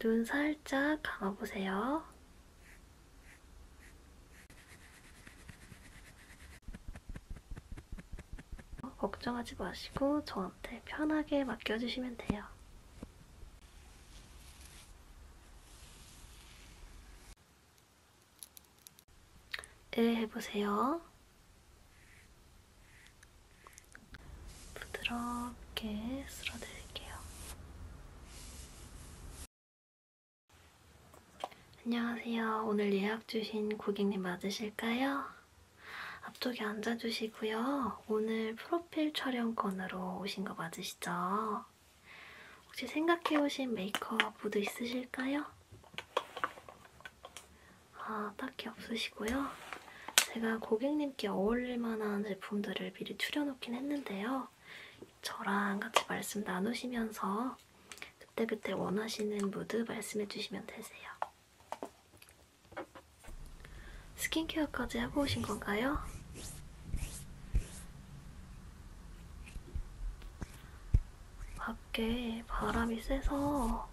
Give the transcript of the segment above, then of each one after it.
눈 살짝 감아보세요. 걱정하지 마시고 저한테 편하게 맡겨주시면 돼요. 을 네, 해보세요. 부드럽게 쓸어드릴게요. 안녕하세요. 오늘 예약 주신 고객님 맞으실까요? 앞쪽에 앉아주시고요. 오늘 프로필 촬영 건으로 오신 거 맞으시죠? 혹시 생각해오신 메이크업 보드 있으실까요? 아, 딱히 없으시고요. 제가 고객님께 어울릴 만한 제품들을 미리 추려놓긴 했는데요. 저랑 같이 말씀 나누시면서 그때그때 원하시는 무드 말씀해주시면 되세요. 스킨케어까지 하고 오신 건가요? 밖에 바람이 세서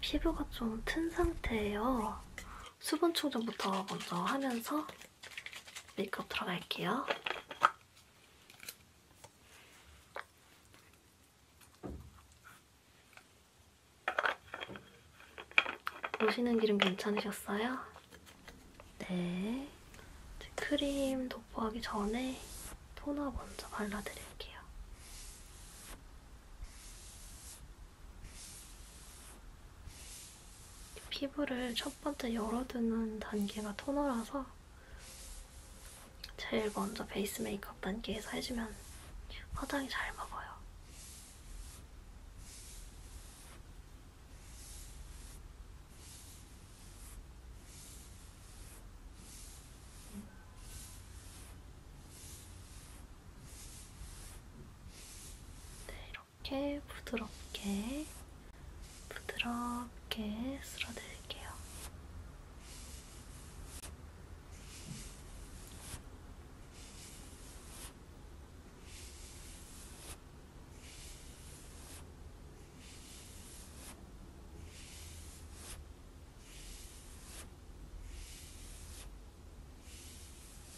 피부가 좀 튼 상태예요. 수분 충전부터 먼저 하면서 메이크업 들어갈게요. 보시는 기름 괜찮으셨어요? 네. 크림 도포하기 전에 토너 먼저 발라드릴게요. 피부를 첫 번째 열어두는 단계가 토너라서 제일 먼저 베이스 메이크업 단계에서 해주면 화장이 잘 먹어요. 네, 이렇게 부드럽게 부드럽게 쓸어드릴게요.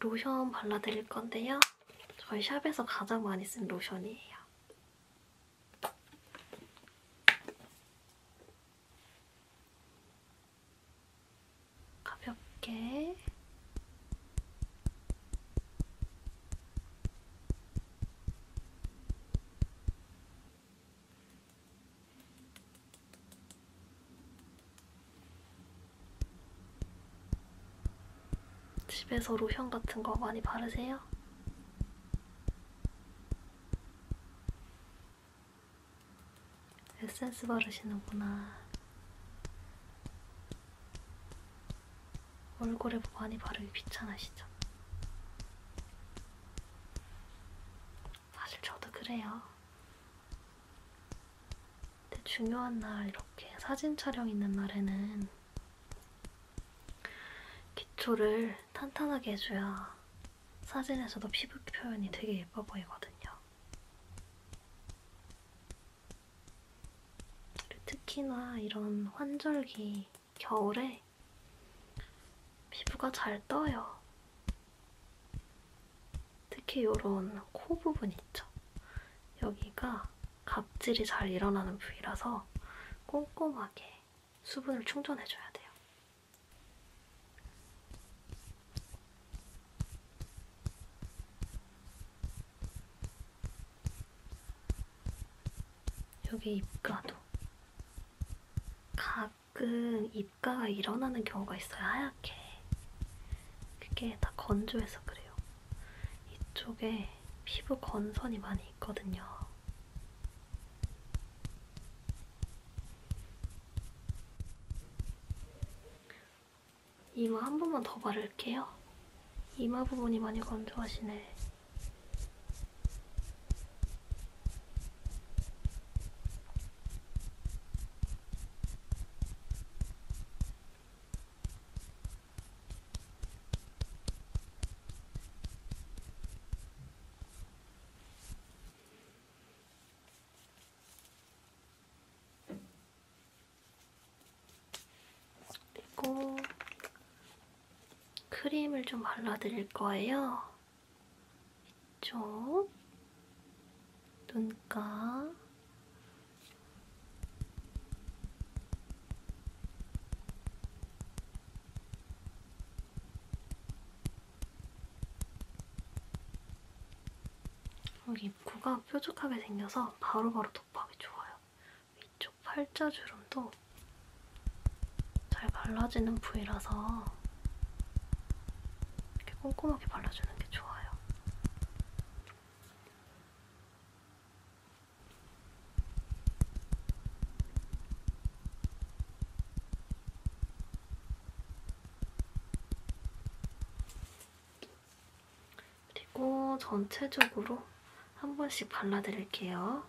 로션 발라드릴 건데요. 저희 샵에서 가장 많이 쓴 로션이에요. 가볍게 집에서 로션 같은 거 많이 바르세요? 에센스 바르시는구나. 얼굴에 뭐 많이 바르기 귀찮으시죠? 사실 저도 그래요. 근데 중요한 날 이렇게 사진 촬영 있는 날에는 기초를 탄탄하게 해줘야 사진에서도 피부 표현이 되게 예뻐 보이거든요. 특히나 이런 환절기 겨울에 피부가 잘 떠요. 특히 이런 코 부분 있죠. 여기가 갑질이 잘 일어나는 부위라서 꼼꼼하게 수분을 충전해줘야 돼요. 여기 입가도 각 가끔 입가가 일어나는 경우가 있어요. 하얗게. 그게 다 건조해서 그래요. 이쪽에 피부 건선이 많이 있거든요. 이마 한 번만 더 바를게요. 이마 부분이 많이 건조하시네. 그리고 크림을 좀 발라드릴 거예요. 이쪽 눈가 여기 입구가 뾰족하게 생겨서 바로바로 도포하기 좋아요. 이쪽 팔자 주름도 잘 발라지는 부위라서 이렇게 꼼꼼하게 발라주는 게 좋아요. 그리고 전체적으로 한 번씩 발라드릴게요.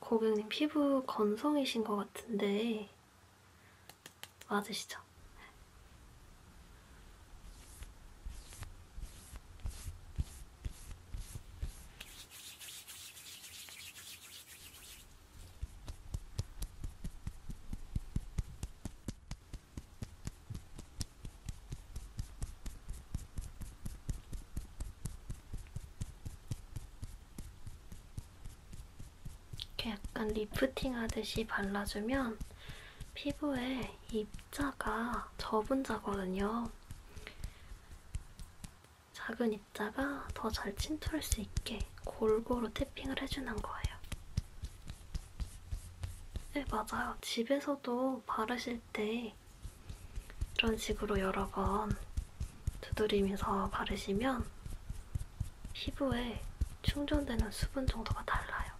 고객님 피부 건성이신 것 같은데 맞으시죠? 이렇게 약간 리프팅 하듯이 발라주면 피부에 입자가 접은 자거든요. 작은 입자가 더 잘 침투할 수 있게 골고루 태핑을 해주는 거예요. 네, 맞아요. 집에서도 바르실 때 이런 식으로 여러 번 두드리면서 바르시면 피부에 충전되는 수분 정도가 달라요.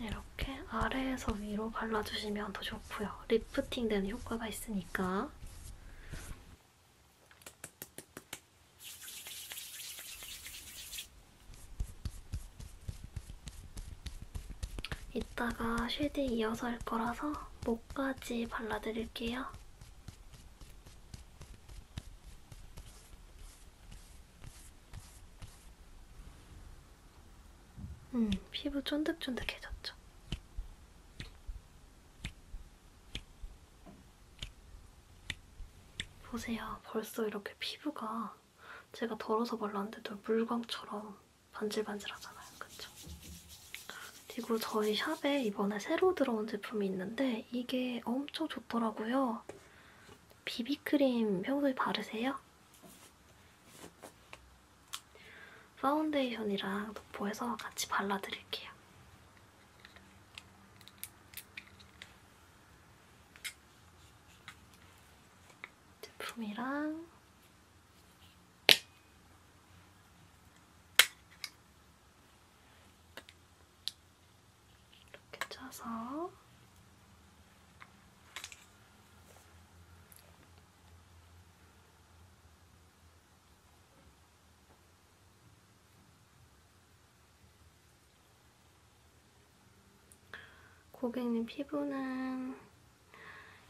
이렇게 아래에서 위로 발라주시면 더 좋고요. 리프팅 되는 효과가 있으니까. 이따가 쉐드 이어서 할 거라서 목까지 발라드릴게요. 음, 피부 쫀득쫀득해졌죠. 보세요. 벌써 이렇게 피부가 제가 덜어서 발랐는데도 물광처럼 반질반질하잖아요. 그쵸? 그리고 저희 샵에 이번에 새로 들어온 제품이 있는데 이게 엄청 좋더라고요. 비비크림 평소에 바르세요? 파운데이션이랑 도포해서 같이 발라드릴게요. 제품이랑 이렇게 짜서 고객님 피부는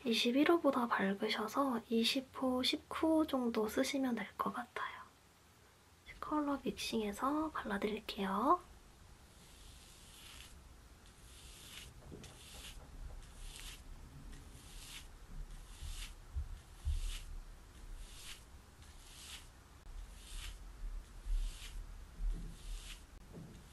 21호보다 밝으셔서 20호, 19호 정도 쓰시면 될 것 같아요. 컬러 믹싱해서 발라드릴게요.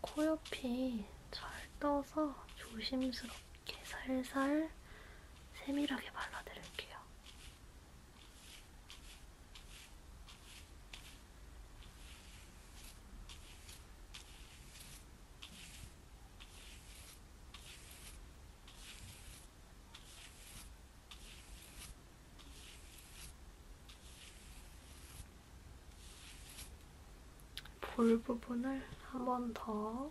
코옆이 잘 떠서 조심스럽게 살살 세밀하게 발라드릴게요. 볼 부분을 한번더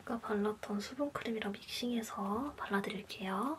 아까 그 발랐던 수분크림이랑 믹싱해서 발라드릴게요.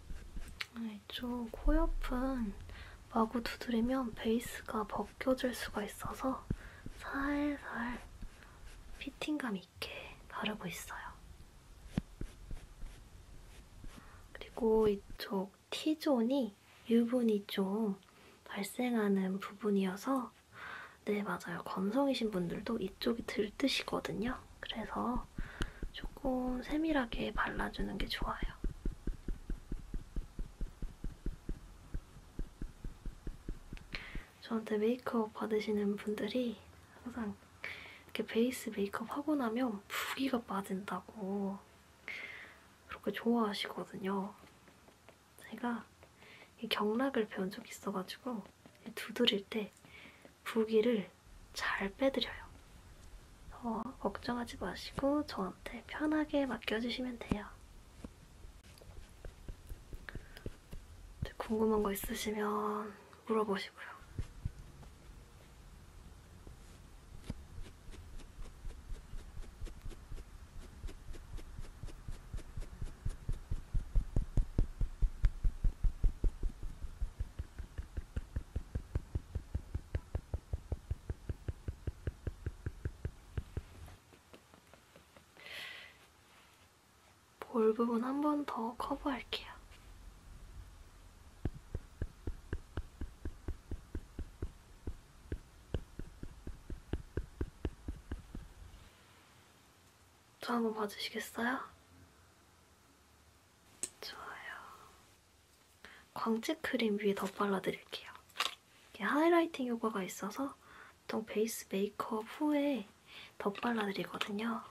이쪽 코옆은 마구 두드리면 베이스가 벗겨질 수가 있어서 살살 피팅감 있게 바르고 있어요. 그리고 이쪽 T존이 유분이 좀 발생하는 부분이어서 네 맞아요. 건성이신 분들도 이쪽이 들뜨시거든요. 그래서 조금 세밀하게 발라주는 게 좋아요. 저한테 메이크업 받으시는 분들이 항상 이렇게 베이스 메이크업 하고 나면 부기가 빠진다고 그렇게 좋아하시거든요. 제가 이 경락을 배운 적이 있어가지고 두드릴 때 부기를 잘 빼드려요. 어, 걱정하지 마시고 저한테 편하게 맡겨주시면 돼요. 궁금한 거 있으시면 물어보시고요. 볼 부분 한 번 더 커버할게요. 저 한번 봐주시겠어요? 좋아요. 광채 크림 위에 더 발라드릴게요. 이게 하이라이팅 효과가 있어서 보통 베이스 메이크업 후에 더 발라드리거든요.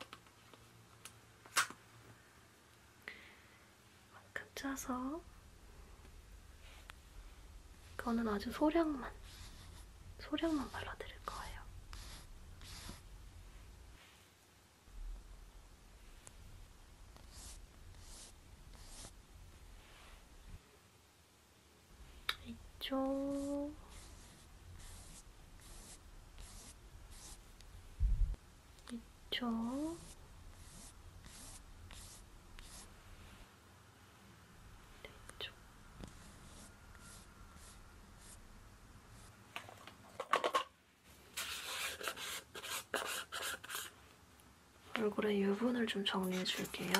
만큼 짜서 이거는 아주 소량만, 소량만 발라드릴 거예요. 이쪽 이쪽 이쪽 얼굴에 유분을 좀 정리해 줄게요.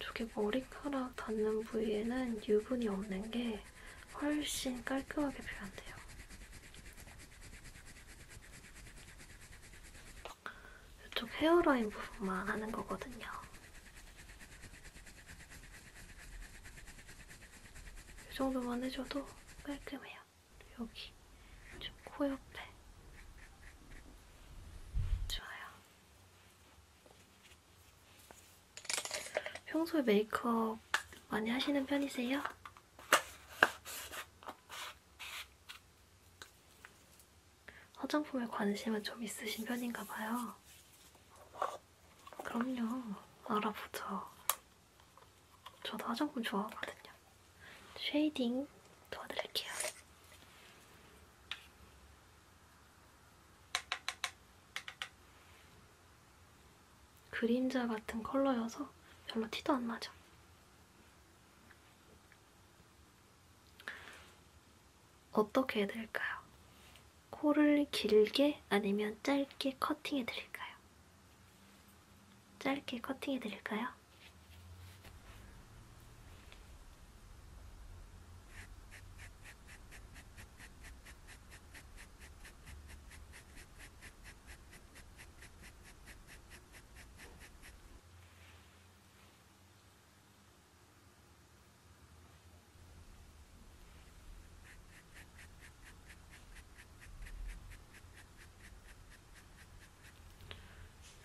저게 머리카락 닿는 부위에는 유분이 없는 게 훨씬 깔끔하게 표현돼요. 이쪽 헤어라인 부분만 하는 거거든요. 이 정도만 해줘도 깔끔해요. 여기 좀 코 옆에 좋아요. 평소에 메이크업 많이 하시는 편이세요? 화장품에 관심은 좀 있으신 편인가 봐요. 그럼요. 알아보죠. 저도 화장품 좋아하거든요. 쉐이딩 도와드릴게요. 그림자 같은 컬러여서 별로 티도 안 나죠. 어떻게 해드릴까요? 코를 길게 아니면 짧게 커팅해드릴까요? 짧게 커팅해드릴까요?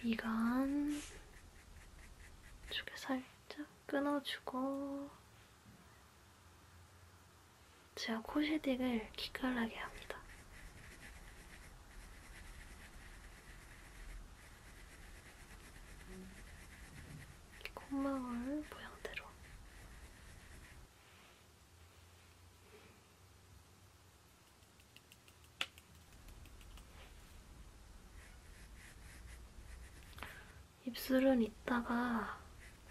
미간 쪽에 살짝 끊어주고 제가 코 쉐딩을 기깔나게 합니다. 이렇게 콧망울 모양대로 입술은 이따가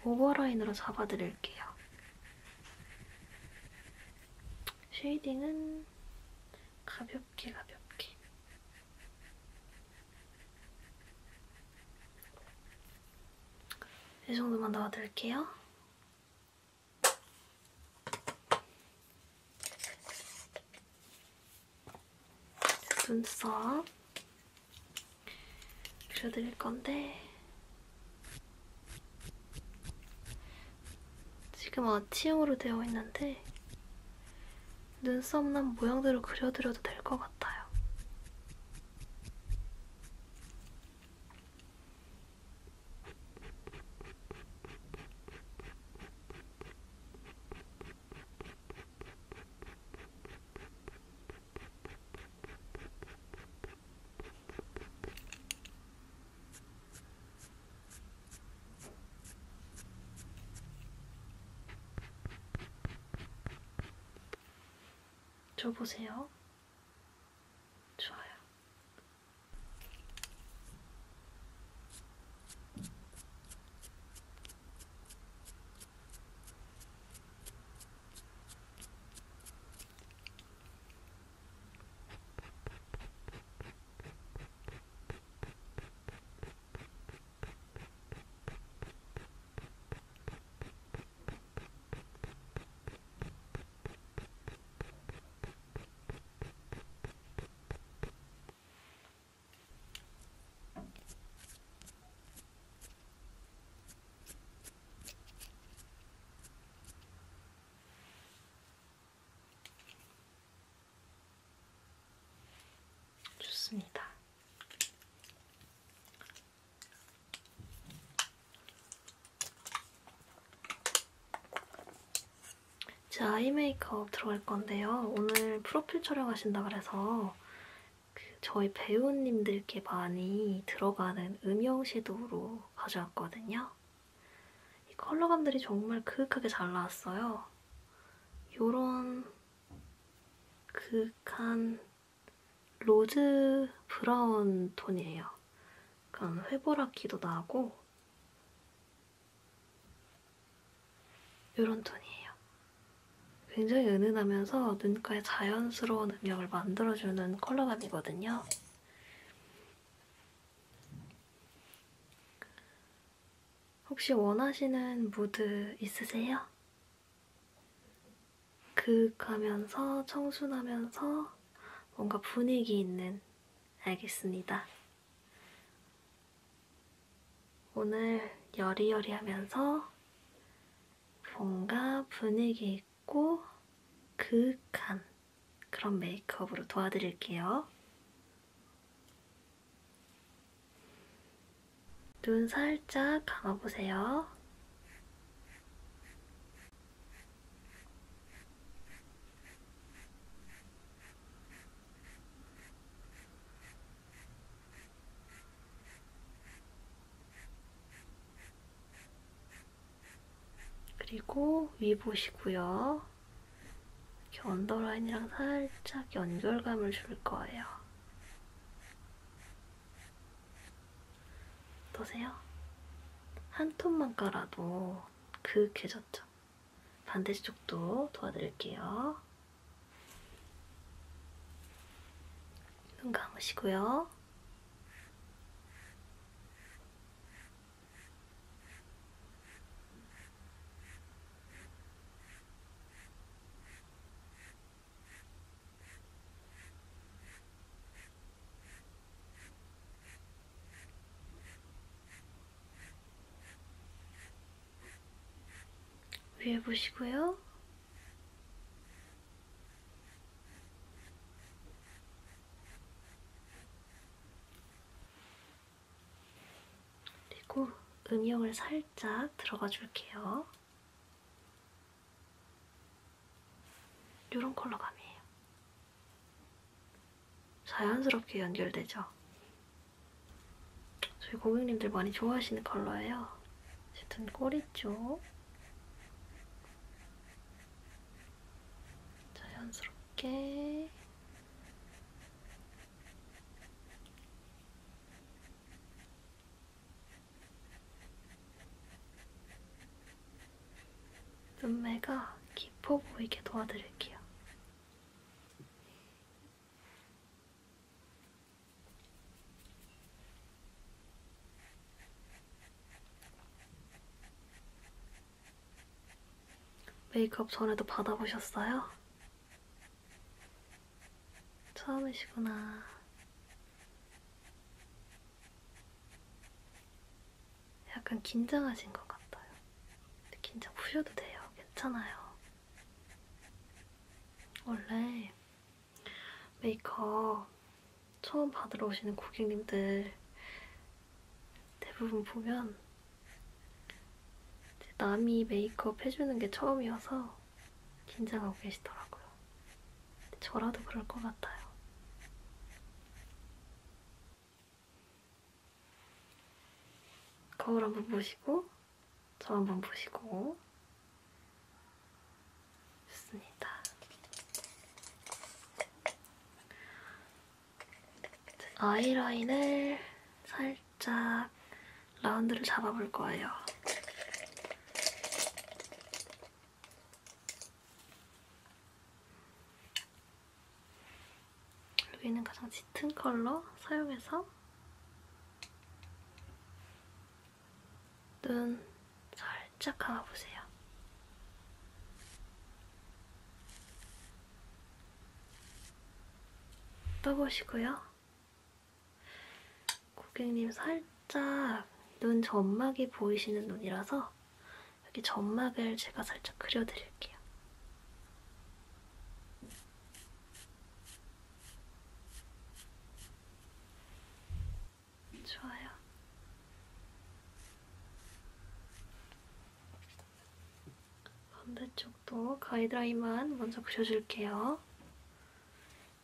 오버라인으로 잡아드릴게요. 쉐이딩은 가볍게 가볍게 이 정도만 넣어드릴게요. 눈썹 그려드릴 건데 지금 아치형으로 되어 있는데 눈썹 난 모양대로 그려드려도 될 것 같아요. 저 보세요. 좋아요. 좋습니다. 제 아이 메이크업 들어갈 건데요. 오늘 프로필 촬영하신다 그래서 그 저희 배우님들께 많이 들어가는 음영 섀도우로 가져왔거든요. 이 컬러감들이 정말 그윽하게 잘 나왔어요. 요런 극한 로즈 브라운 톤이에요. 약간 회보라기도 나고 이런 톤이에요. 굉장히 은은하면서 눈가에 자연스러운 음영을 만들어주는 컬러감이거든요. 혹시 원하시는 무드 있으세요? 그윽하면서 청순하면서 뭔가 분위기 있는 알겠습니다. 오늘 여리여리하면서 뭔가 분위기 있고 그윽한 그런 메이크업으로 도와드릴게요. 눈 살짝 감아보세요. 그리고 위 보시고요. 이렇게 언더라인이랑 살짝 연결감을 줄 거예요. 어떠세요? 한 톤만 깔아도 그윽해졌죠? 반대쪽도 도와드릴게요. 눈 감으시고요. 위에 보시고요. 그리고 음영을 살짝 들어가 줄게요. 이런 컬러감이에요. 자연스럽게 연결되죠? 저희 고객님들 많이 좋아하시는 컬러예요. 짙은 꼬리 쪽. 자연스럽게. 눈매가 깊어 보이게 도와드릴게요. 메이크업 전에도 받아보셨어요? 처음이시구나. 약간 긴장하신 것 같아요. 긴장 푸셔도 돼요. 괜찮아요. 원래 메이크업 처음 받으러 오시는 고객님들 대부분 보면 남이 메이크업 해주는 게 처음이어서 긴장하고 계시더라고요. 저라도 그럴 것 같아요. 거울 한번 보시고, 저 한번 보시고. 좋습니다. 아이라인을 살짝 동안 라운드를 잡아볼 거예요. 여기는 가장 짙은 컬러 사용해서 눈 살짝 감아보세요. 떠보시고요. 고객님 살짝 눈 점막이 보이시는 눈이라서 여기 점막을 제가 살짝 그려드릴게요. 좋아요. 반대쪽도 가이드라인만 먼저 그려줄게요.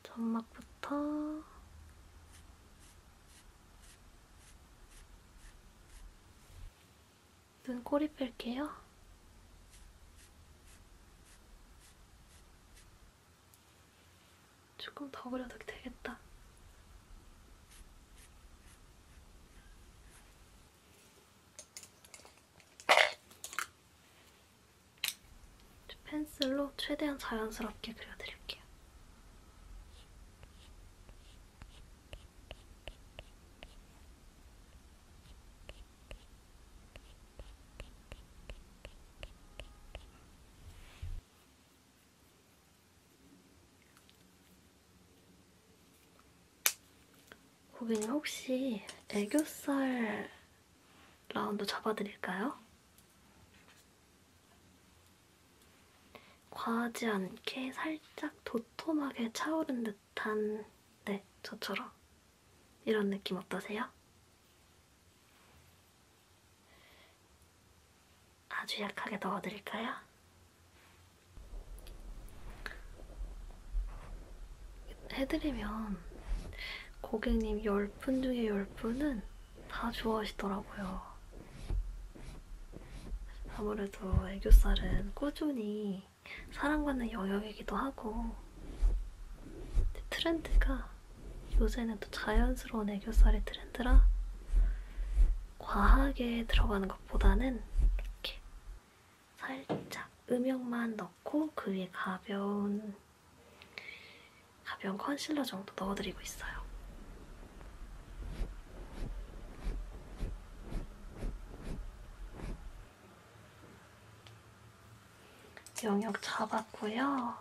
점막부터 눈, 꼬리 뺄게요. 조금 더 그려도 되겠다. 펜슬로 최대한 자연스럽게 그려드릴게요. 고객님 혹시 애교살 라운드 잡아드릴까요? 과하지 않게 살짝 도톰하게 차오른 듯한 네, 저처럼 이런 느낌 어떠세요? 아주 약하게 넣어드릴까요? 해드리면 고객님 10분 중에 10분은 다 좋아하시더라고요. 아무래도 애교살은 꾸준히 사랑받는 영역이기도 하고 트렌드가 요새는 또 자연스러운 애교살이 트렌드라 과하게 들어가는 것보다는 이렇게 살짝 음영만 넣고 그 위에 가벼운 가벼운 컨실러 정도 넣어드리고 있어요. 영역 잡았고요.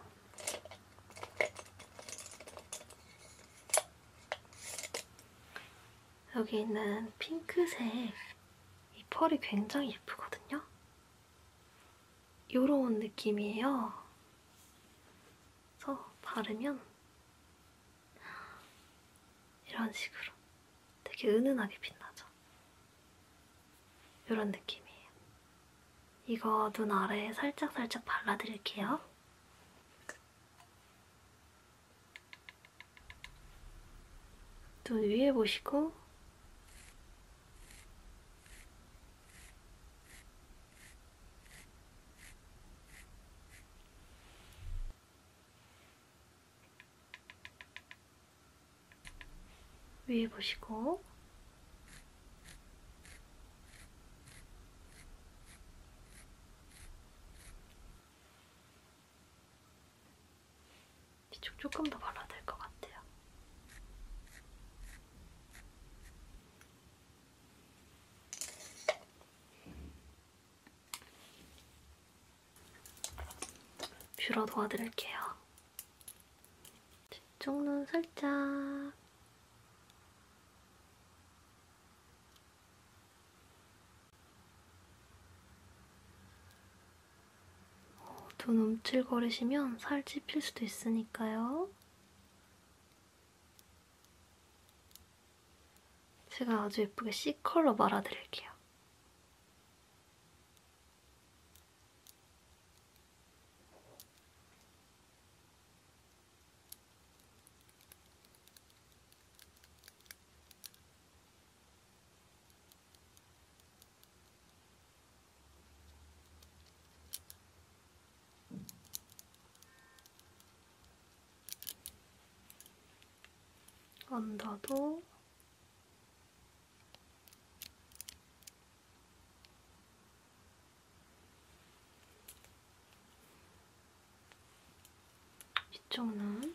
여기 있는 핑크색 이 펄이 굉장히 예쁘거든요. 요런 느낌이에요. 그래서 바르면 이런 식으로 되게 은은하게 빛나죠. 요런 느낌이에요. 이거 눈 아래에 살짝살짝 발라드릴게요. 눈 위에 보시고 위에 보시고 이쪽 조금 더 발라야 될 것 같아요. 뷰러 도와드릴게요. 뒤쪽 눈 살짝 어, 돈 움찔거리시면 살집 필 수도 있으니까요. 제가 아주 예쁘게 C컬러 말아드릴게요. 언더도 이쪽은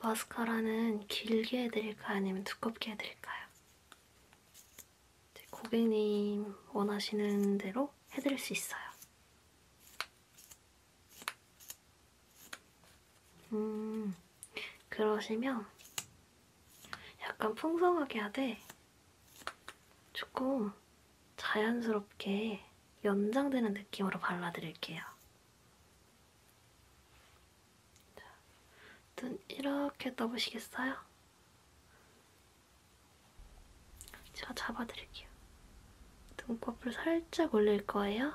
마스카라는 길게 해드릴까요? 아니면 두껍게 해드릴까요? 고객님 원하시는 대로 해드릴 수 있어요. 음, 그러시면 약간 풍성하게 하되 조금 자연스럽게 연장되는 느낌으로 발라드릴게요. 눈 이렇게 떠보시겠어요? 제가 잡아드릴게요. 눈꺼풀 살짝 올릴 거예요.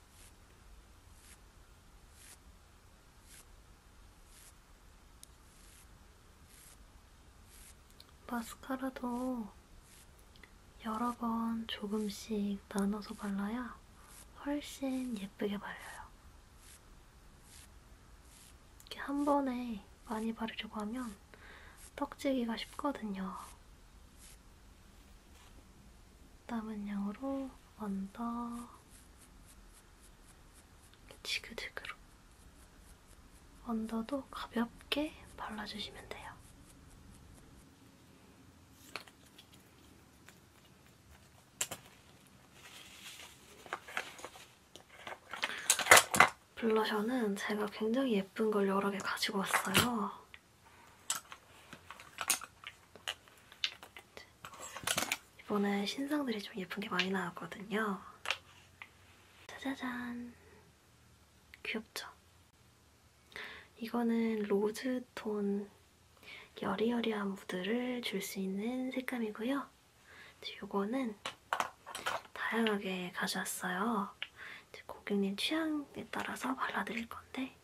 마스카라도 여러 번 조금씩 나눠서 발라야 훨씬 예쁘게 발려요. 이렇게 한 번에 많이 바르려고 하면 떡지기가 쉽거든요. 남은 양으로 언더 지그재그로 언더도 가볍게 발라주시면 돼요. 블러셔는 제가 굉장히 예쁜 걸 여러 개 가지고 왔어요. 이번에 신상들이 좀 예쁜 게 많이 나왔거든요. 짜자잔. 귀엽죠? 이거는 로즈톤 여리여리한 무드를 줄 수 있는 색감이고요. 이거는 다양하게 가져왔어요. 고객님 취향에 따라서 발라드릴 건데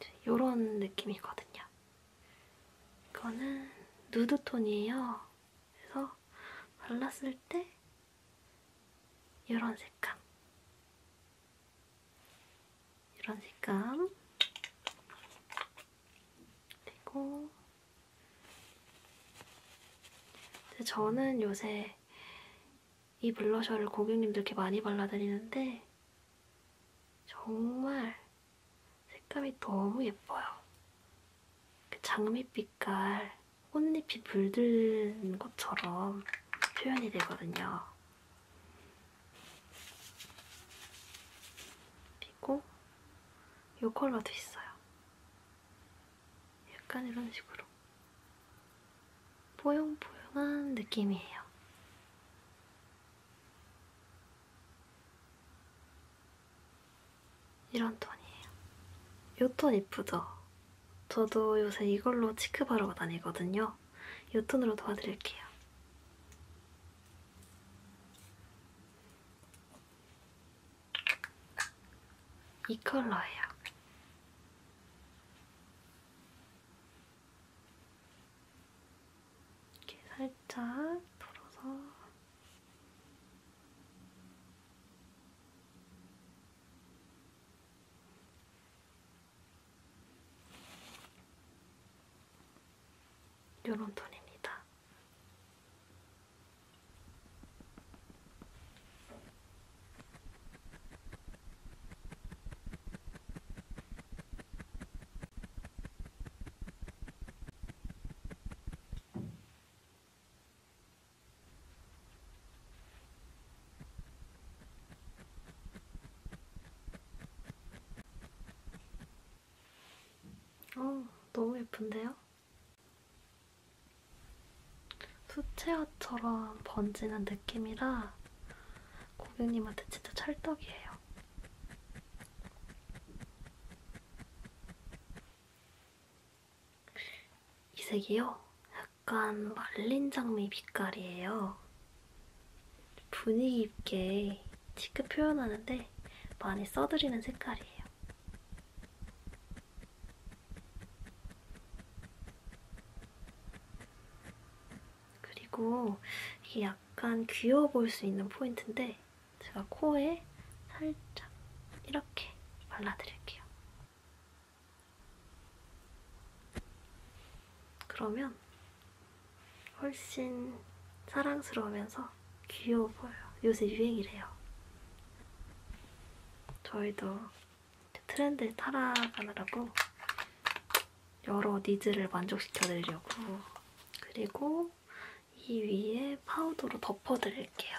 네, 요런 느낌이거든요. 이거는 누드톤이에요. 그래서 발랐을 때 이런 색감 이런 색감 그리고 근데 저는 요새 이 블러셔를 고객님들께 많이 발라드리는데 정말 색감이 너무 예뻐요. 그 장밋빛깔 꽃잎이 물든 것처럼 표현이 되거든요. 그리고 이 컬러도 있어요. 약간 이런 식으로 포용포용한 느낌이에요. 이런 톤이에요. 요 톤 이쁘죠? 저도 요새 이걸로 치크바르고 다니거든요. 요 톤으로 도와드릴게요. 이 컬러예요. 이렇게 살짝 털어서 요런 톤입니다. 어, 너무 예쁜데요? 수채화처럼 번지는 느낌이라 고객님한테 진짜 찰떡이에요. 이 색이요? 약간 말린 장미 빛깔이에요. 분위기 있게 티크 표현하는데 많이 써드리는 색깔이에요. 그리고 이게 약간 귀여워 보일 수 있는 포인트인데 제가 코에 살짝 이렇게 발라드릴게요. 그러면 훨씬 사랑스러우면서 귀여워 보여. 요새 유행이래요. 저희도 트렌드에 따라가느라고 여러 니즈를 만족시켜드리려고 그리고 이 위에 파우더로 덮어드릴게요.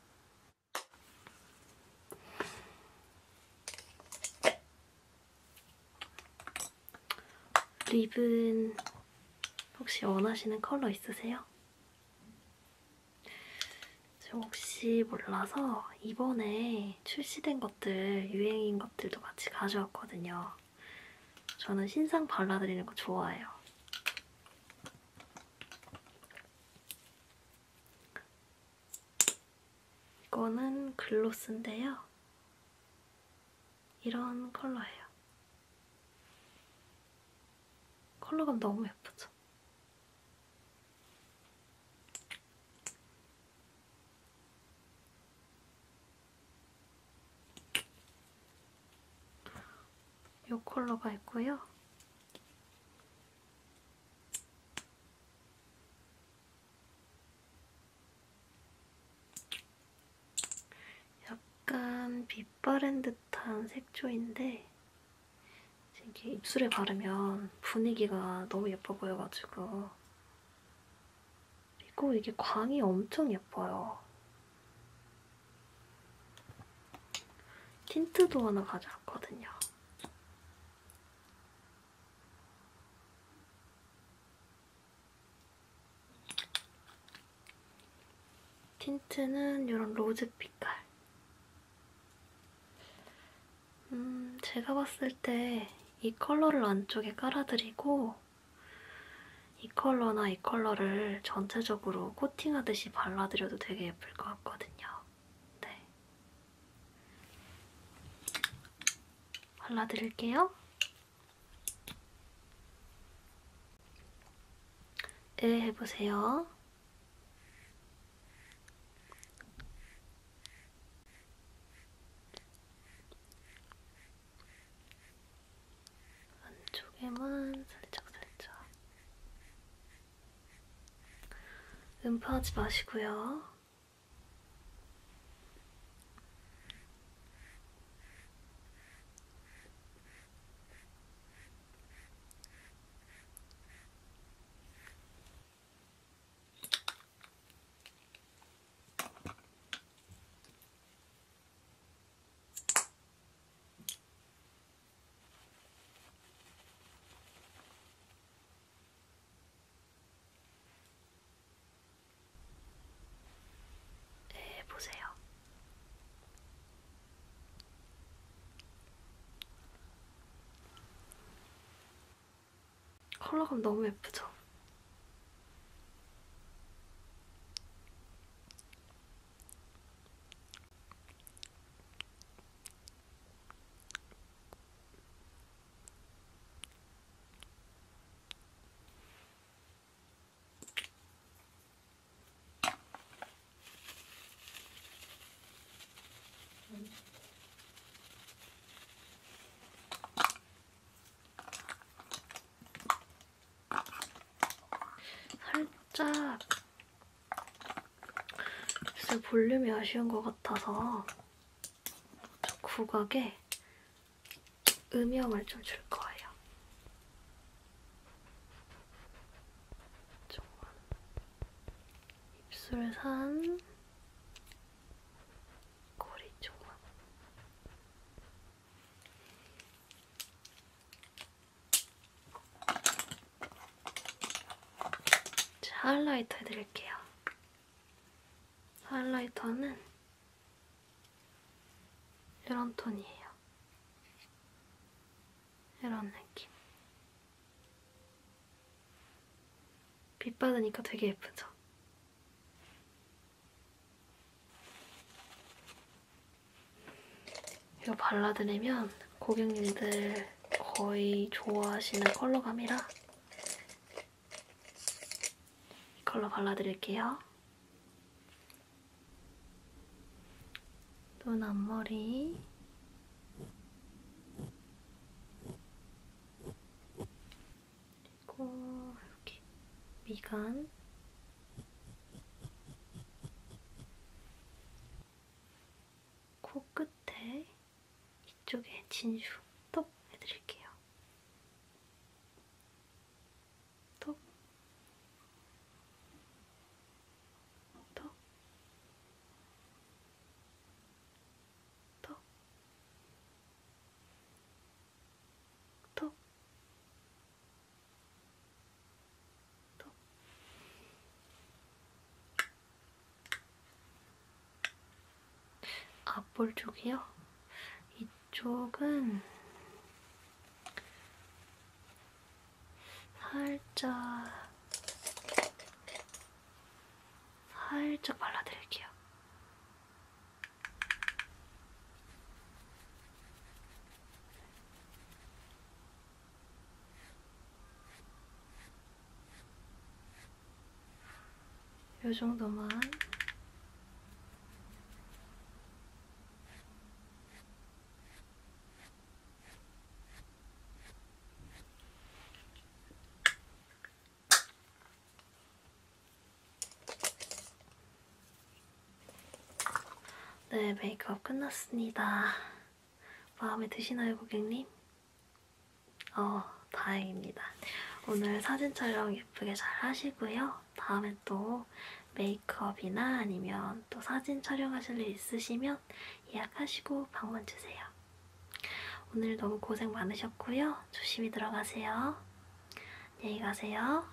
립은 혹시 원하시는 컬러 있으세요? 저 혹시 몰라서 이번에 출시된 것들, 유행인 것들도 같이 가져왔거든요. 저는 신상 발라드리는 거 좋아해요. 이거는 글로스인데요. 이런 컬러예요. 컬러감 너무 예쁘죠? 이 컬러가 있고요. 약간 빛바랜 듯한 색조인데 이게 입술에 바르면 분위기가 너무 예뻐 보여가지고 그리고 이게 광이 엄청 예뻐요. 틴트도 하나 가져왔거든요. 틴트는 이런 로즈 빛깔. 음, 제가 봤을 때 이 컬러를 안쪽에 깔아드리고 이 컬러나 이 컬러를 전체적으로 코팅하듯이 발라드려도 되게 예쁠 것 같거든요. 네. 발라드릴게요. 예, 네, 해보세요. 안쪽에만 살짝살짝 음파하지 마시고요. 네, 보세요. 컬러감 너무 예쁘죠? 살짝 글쎄 볼륨이 아쉬운 것 같아서 저 구각에 음영을 좀 줄 거예요. 조금만. 입술 산 꼬리 조금. 자, 하이라이터 해드릴게요. 하이라이터는 이런 톤이에요. 이런 느낌. 빛 받으니까 되게 예쁘죠? 이거 발라드리면 고객님들 거의 좋아하시는 컬러감이라 이 컬러 발라드릴게요. 눈 앞머리 그리고 이렇게 미간 코끝에 이쪽에 진슈 톡 해드릴게요. 톡, 톡, 톡, 톡, 또. 앞볼 아, 쪽이요? 이쪽은 살짝 살짝 발라드릴게요. 요 정도만 네, 메이크업 끝났습니다. 마음에 드시나요, 고객님? 어, 다행입니다. 오늘 사진 촬영 예쁘게 잘 하시고요. 다음에 또 메이크업이나 아니면 또 사진 촬영하실 일 있으시면 예약하시고 방문 주세요. 오늘 너무 고생 많으셨고요. 조심히 들어가세요. 안녕히 가세요.